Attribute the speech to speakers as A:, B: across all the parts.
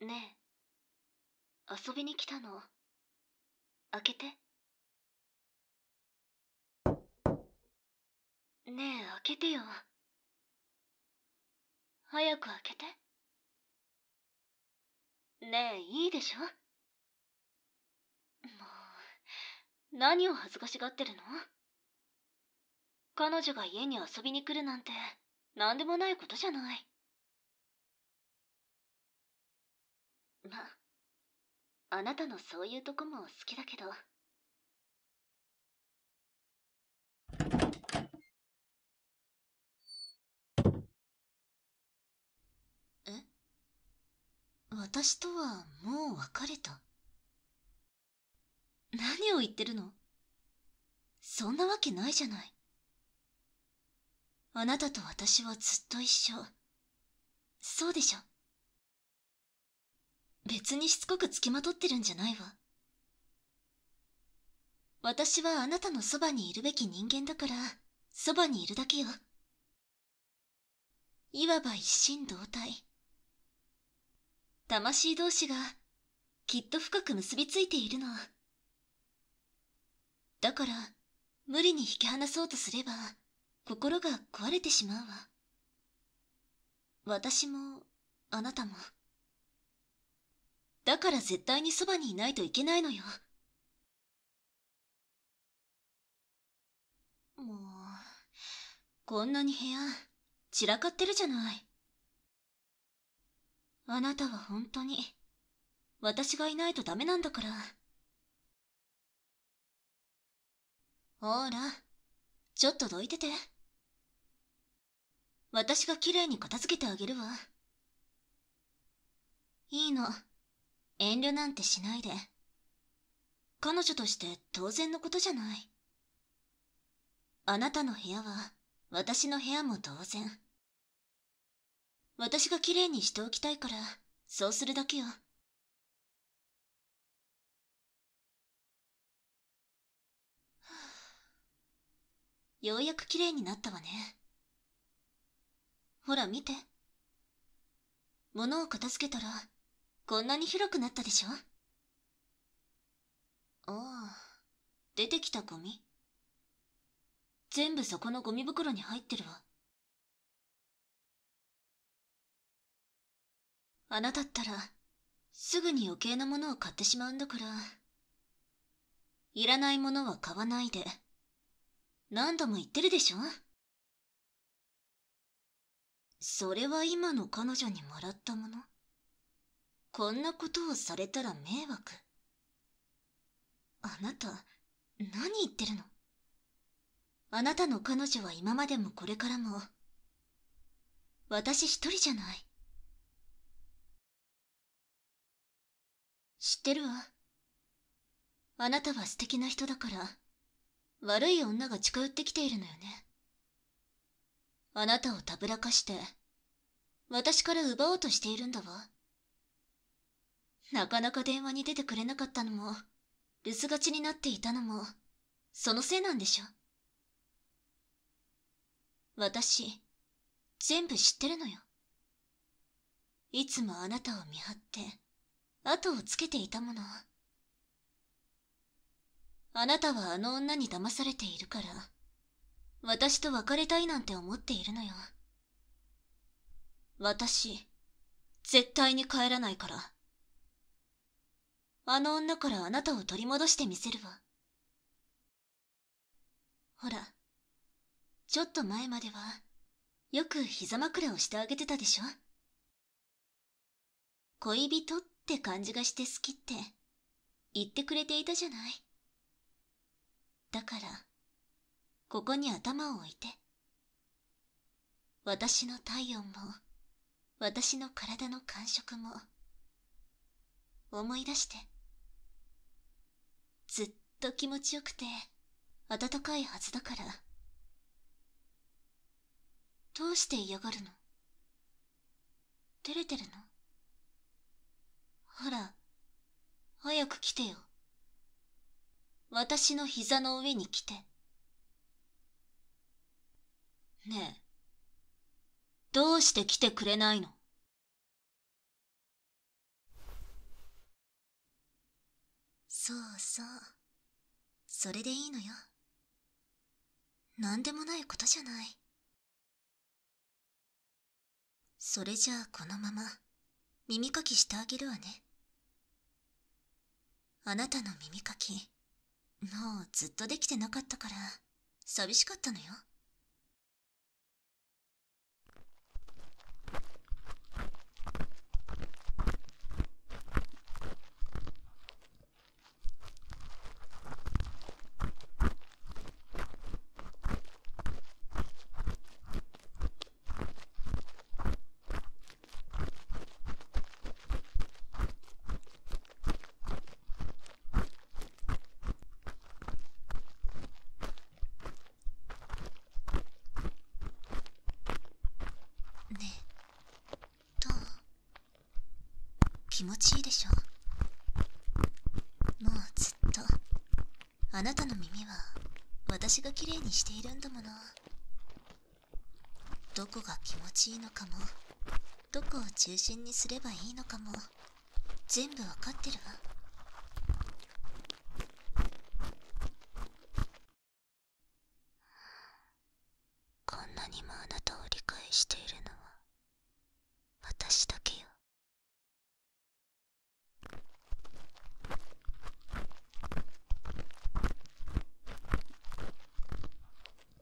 A: ねえ遊びに来たの開けてねえ開けてよ早く開けてねえいいでしょもう何を恥ずかしがってるの彼女が家に遊びに来るなんて何でもないことじゃないまあなたのそういうとこも好きだけどえ私とはもう別れた
B: 何を言ってるのそんなわけないじゃないあなたと私はずっと一緒そうでしょ別にしつこくつきまとってるんじゃないわ私はあなたのそばにいるべき人間だからそばにいるだけよいわば一心同体魂同士がきっと深く結びついているのだから無理に引き離そうとすれば心が壊れてしまうわ私も、
A: あなたも。だから絶対にそばにいないといけないのよ。もう、こんなに部屋、散らかってるじゃない。あなたは本当に、私がいないとダメなんだから。ほらちょっとどいてて私がきれいに片付けてあげるわ
B: いいの遠慮なんてしないで彼女として当然のことじゃないあなた
A: の部屋は私の部屋も当然私がきれいにしておきたいからそうするだけよは ようやく綺麗になったわね。ほら見て。
B: 物を片付けたら、こんなに広くなったでしょあ
A: あ、出てきたゴミ。全部そこのゴミ袋に入ってるわ。あなたったらすぐに余計なものを買ってしまうんだからいらないものは買わないで何度も言ってるでしょそれは今の彼女にもらったものこんなことをされたら迷惑
B: あなた何言ってるのあなたの
A: 彼女は今までもこれからも私一人じゃない知ってるわあなたは素敵な人だから悪い女が近寄ってきているのよ
B: ねあなたをたぶらかして私から奪おうとしているんだわなかなか電話に出てくれなかったのも留守がちになっていたのもそのせいなんでしょ私、全部知ってるのよ。いつもあなたを見張って、後をつけていたもの。あなたはあの女に騙されているから、私と別れたいなんて思っているのよ。私、絶対に帰らないから。あの女からあなたを取り戻してみせるわ。ほら、ちょっと前までは、よく膝枕をしてあげてたでしょ恋人って感じがして好きって言ってくれていたじゃない。だから、ここに頭を置いて。私の体温も私の体の感触も思い出してずっと気持ちよくて温かいはずだからどうして嫌がるの照れてるのほら早く来てよ私の膝の上に来て
A: ねえ、どうして来てくれないのそうそう。それでいいのよ。何でもないことじゃない。それじゃあこのまま耳かきしてあげるわね。あな
B: たの耳かきもうずっとできてなかったから寂しかったのよねえどう気持ちいいでしょ
C: もうずっと
B: あなたの耳は私がきれいにしているんだものどこが気持ちいいのかもどこを中心にすればいいのかも全部わかってるわ
C: こんなにもあなたを理解しているのは私だけよ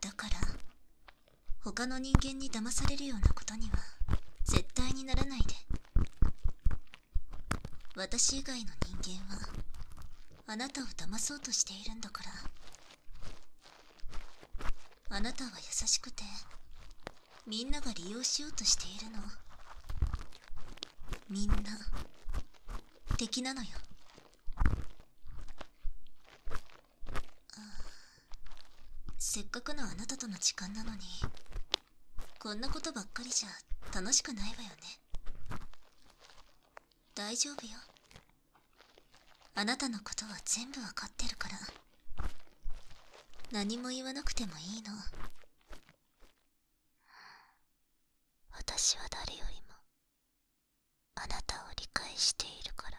B: だから他の人間に騙されるようなことには絶対にならないで私以外の人間はあなたを騙そうとしているんだからあなたは優しくてみんなが利用しようとしているのみんな敵なのよせっかくのあなたとの時間なのにこんなことばっかりじゃ楽しくないわよね大丈夫よあなたのことは全部わかってるから何も言わなくてもいいの
C: 私は誰よりもあなたを理解しているから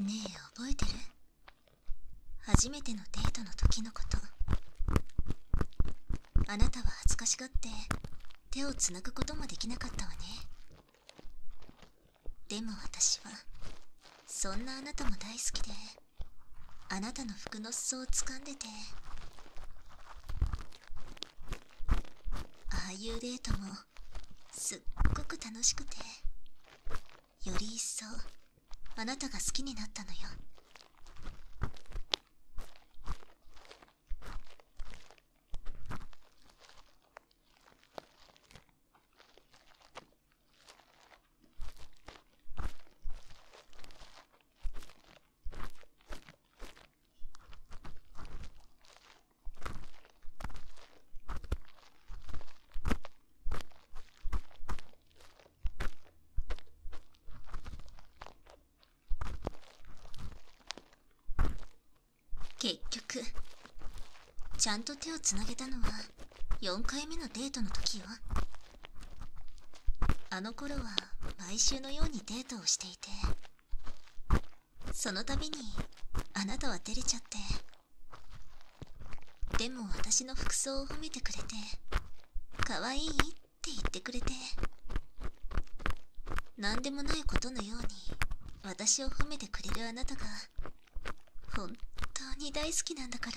B: ねえ覚えてる初めてのデートの時のことあなたは恥ずかしがって手をつなぐこともできなかったわねでも私はそんなあなたも大好きであなたの服の裾を掴んでてああいうデートもすっごく楽しくてより一層あなたが好きになったのよ結局ちゃんと手をつなげたのは4回目のデートの時よあの頃は毎週のようにデートをしていてその度にあなたは照れちゃってでも私の服装を褒めてくれて可愛いって言ってくれて何でもないことのように私を褒めてくれるあなたが本当に大好きなんだから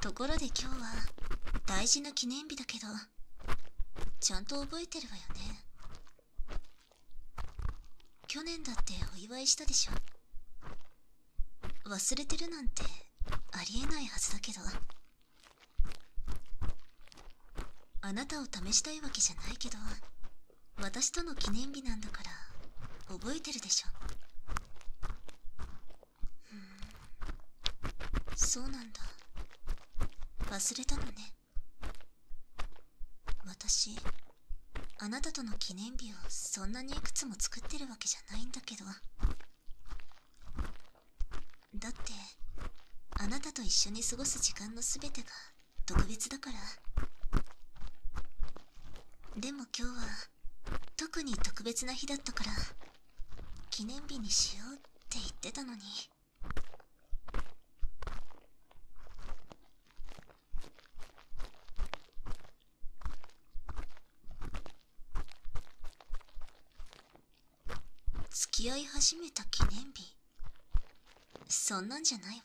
B: ところで今日は大事な記念日だけどちゃんと覚えてるわよね去年だってお祝いしたでしょ忘れてるなんてありえないはずだけどあなたを試したいわけじゃないけど私との記念日なんだから覚えてるでしょうんそうなんだ忘れたのね私あなたとの記念日をそんなにいくつも作ってるわけじゃないんだけどだってあなたと一緒に過ごす時間の全てが特別だからでも今日は特に特別な日だったから記念日にしようって言ってたのに付き合い始めた記念日そんなんじゃないわ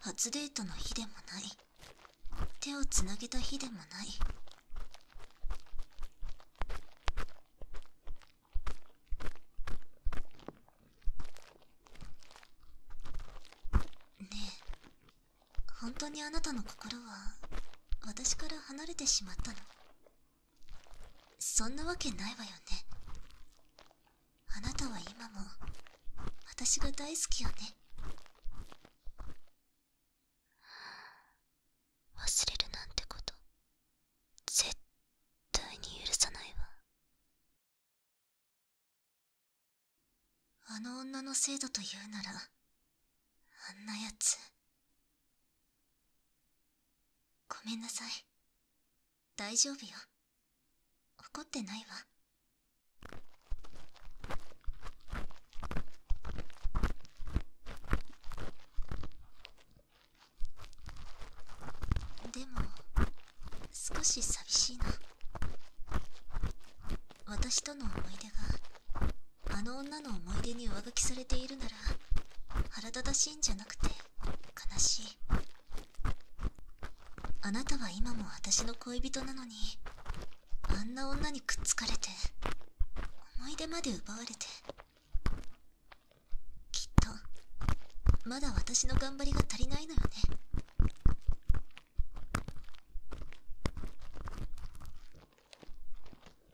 B: 初デートの日でもない手をつなげた日でもないねえ本当にあなたの心は私から離れてしまったのそんなわけないわよねあなたは今も私が大好きよね
C: 忘れるなんてこと絶対に許さないわ
A: あの女の生徒と言うならあんなやつごめ
B: んなさい大丈夫よ怒ってないわでも少し寂しいな私との思い出があの女の思い出に上書きされているなら腹立たしいんじゃなくて悲しいあなたは今も私の恋人なのにあんな女にくっつかれて思い出まで奪われてきっとまだ私の頑張りが足りないのよね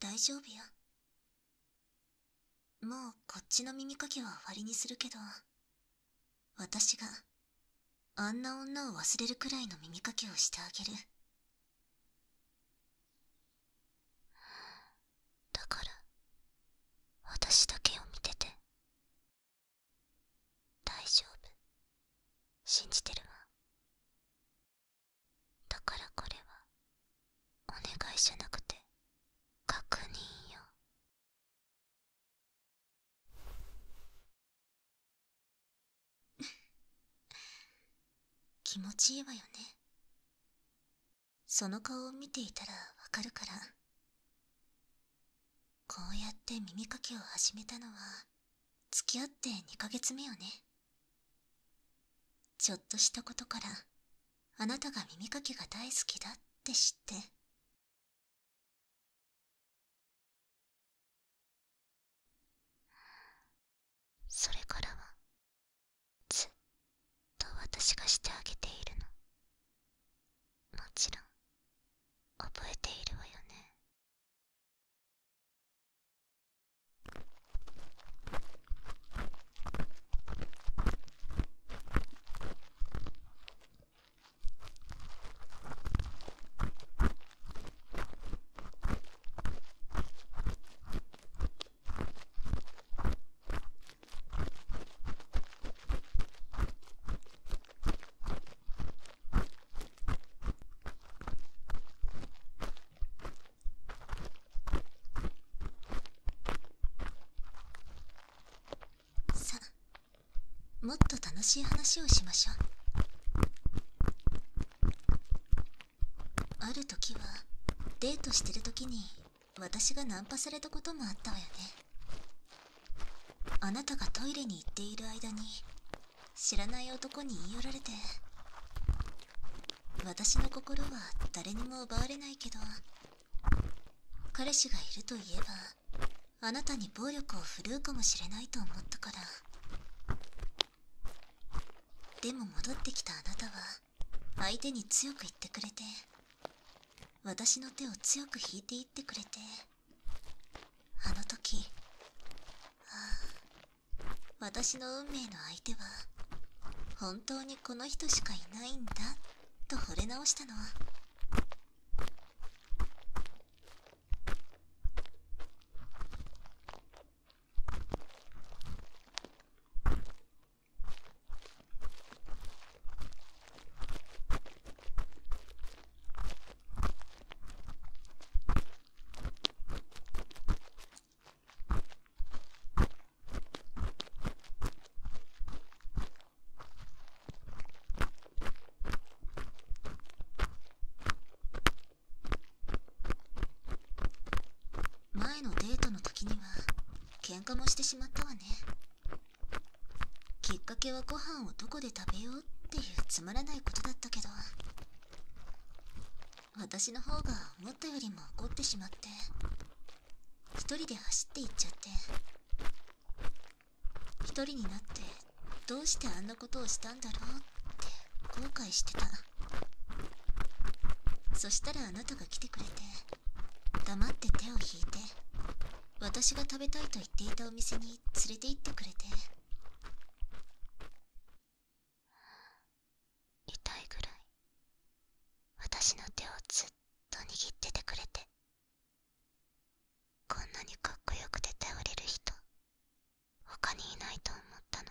B: 大丈夫よもうこっちの耳かきは終わりにするけど私があんな女を忘れるくらいの耳かきをしてあげる
C: だから私だけを見てて大丈夫信じてるわだからこれはお願いじゃなくて確認よ
A: 気持ちいいわよねその顔を見ていたらわ
B: かるからこうやって耳かきを始めたのは付き合って2ヶ月目よねちょっとし
A: たことからあなたが耳かきが大好きだって知って
C: それからはずっと私がしてあげているのもちろん覚えているわよね
B: さあもっと楽しい話をしましょうある時はデートしてる時に私がナンパされたこともあったわよねあなたがトイレに行っている間に知らない男に言い寄られて私の心は誰にも奪われないけど彼氏がいるといえばあなたに暴力を振るうかもしれないと思ったからでも戻ってきたあなたは相手に強く言ってくれて私の手を強く引いていってくれてあの時、はあ、私の運命の相手は本当にこの人しかいないんだと惚れ直したの。前のデートの時には喧嘩もしてしまったわねきっかけはご飯をどこで食べようっていうつまらないことだったけど私の方が思ったよりも怒ってしまって1人で走って行っちゃって1人になってどうしてあんなことをしたんだろうって後悔してたそしたらあなたが来てくれて黙って手を引いて私が食べたいと言っていたお店に連れて行ってくれて
C: 痛いぐらい私の手をずっと握っててくれてこんなにかっこよくて頼れる人他にいないと思ったの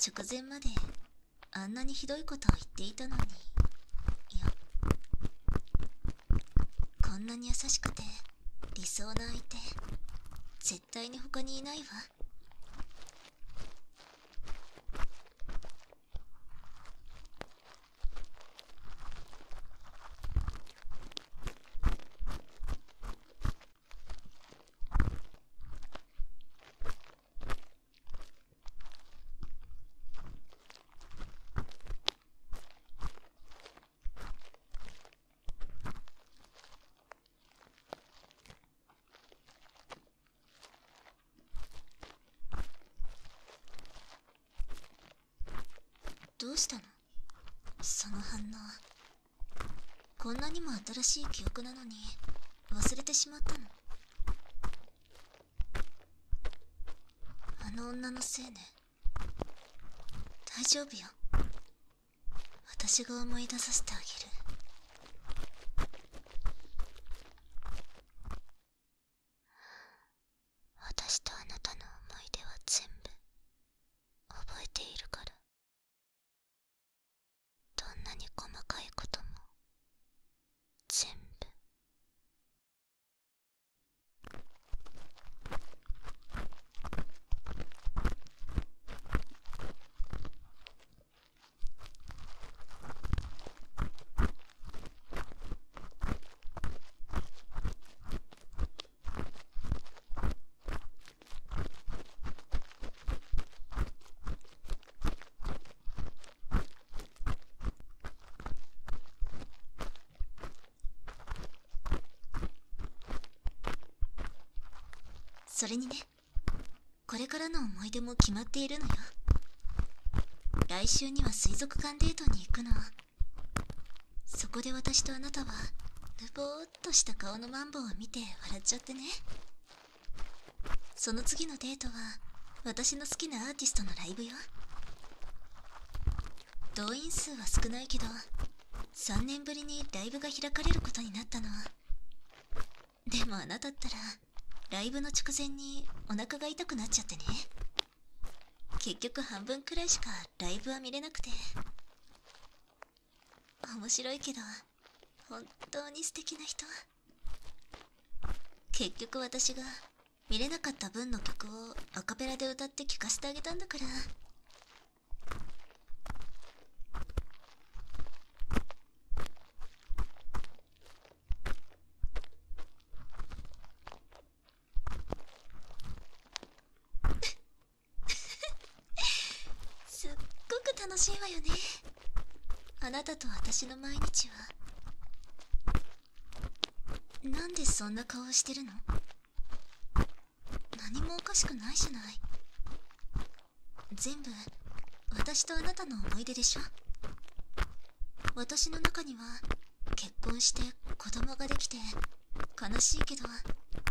B: 直前まであんなにひどいことを言っていたのにいやこんなに優しくて理想な相手絶対に他にいないわどうしたのその反応こんなにも新しい記憶なのに忘れてしまったのあの女のせいね大丈夫よ私が思い出させてあげる
C: 私とあなたの思い出は全部覚えているからどんなに細かいことも全部それにねこ
B: れからの思い出も決まっているのよ来週には水族館デートに行くのそこで私とあなたはルぼーっとした顔のマンボウを見て笑っちゃってねその次のデートは私の好きなアーティストのライブよ動員数は少ないけど3年ぶりにライブが開かれることになったのでもあなたったらライブの直前にお腹が痛くなっちゃってね結局半分くらいしかライブは見れなくて面白いけど本当に素敵な人結局私が見れなかった分の曲をアカペラで歌って聴かせてあげたんだからすっごく楽しいわよねあなたと私の毎日はなんでそんな顔してるの何もおかしくないじゃない全部私とあなたの思い出でしょ私の中には結婚して子供ができて悲しいけど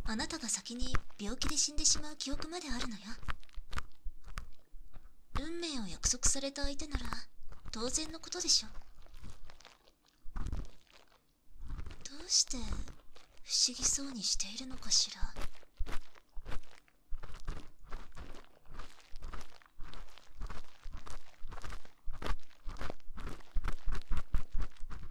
B: あなたが先に病気で死んでしまう記憶まであるのよ運命を約束された相手なら当然のことでしょどうして不思議そうにしているのかしら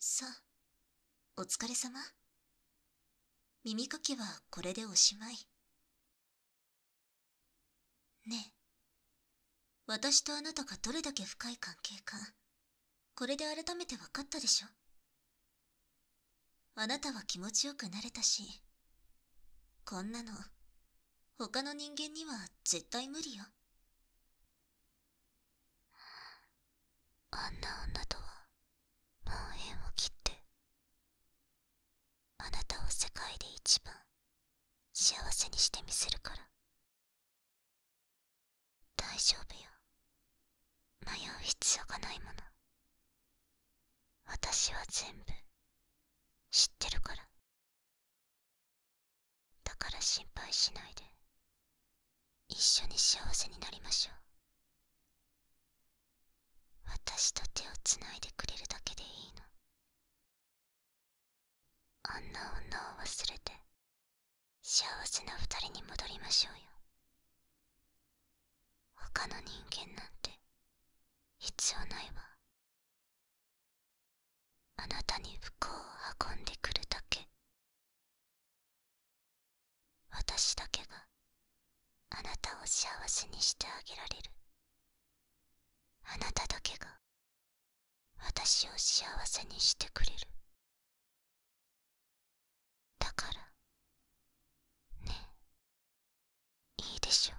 B: さあお疲れ様耳かきはこれでおしまいねえ私とあなたがどれだけ深い関係かこれで改めて分かったでしょあなたは気持ちよくなれたしこんなの他の人間には絶対無理よ
C: あんな女とはもう縁を切ってあなたを世界で一番幸せにしてみせるから大丈夫よ迷う必要がないもの私は全部知ってるからだから心配しないで一緒に幸せになりましょう私と手をつないでくれるだけでいいのあんな女を忘れて幸せな二人に戻りましょうよ他の人間なんて必要ないわあなたに不幸を運んでくるだけ私だけがあなたを幸せにしてあげられるあなただけが私を幸せにしてくれるだからねえ、いいでしょう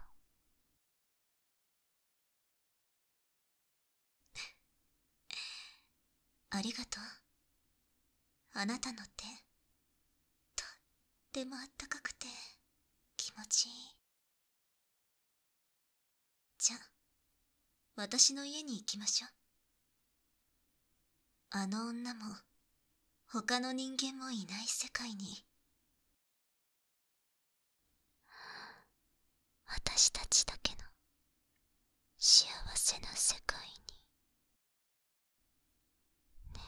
C: ありがとう
A: あなたの手とってもあったかくて気持ちいいじゃ私の家に行きましょうあの女も
B: 他の人間もいない世界に
C: 私たちだけの幸せな世界にね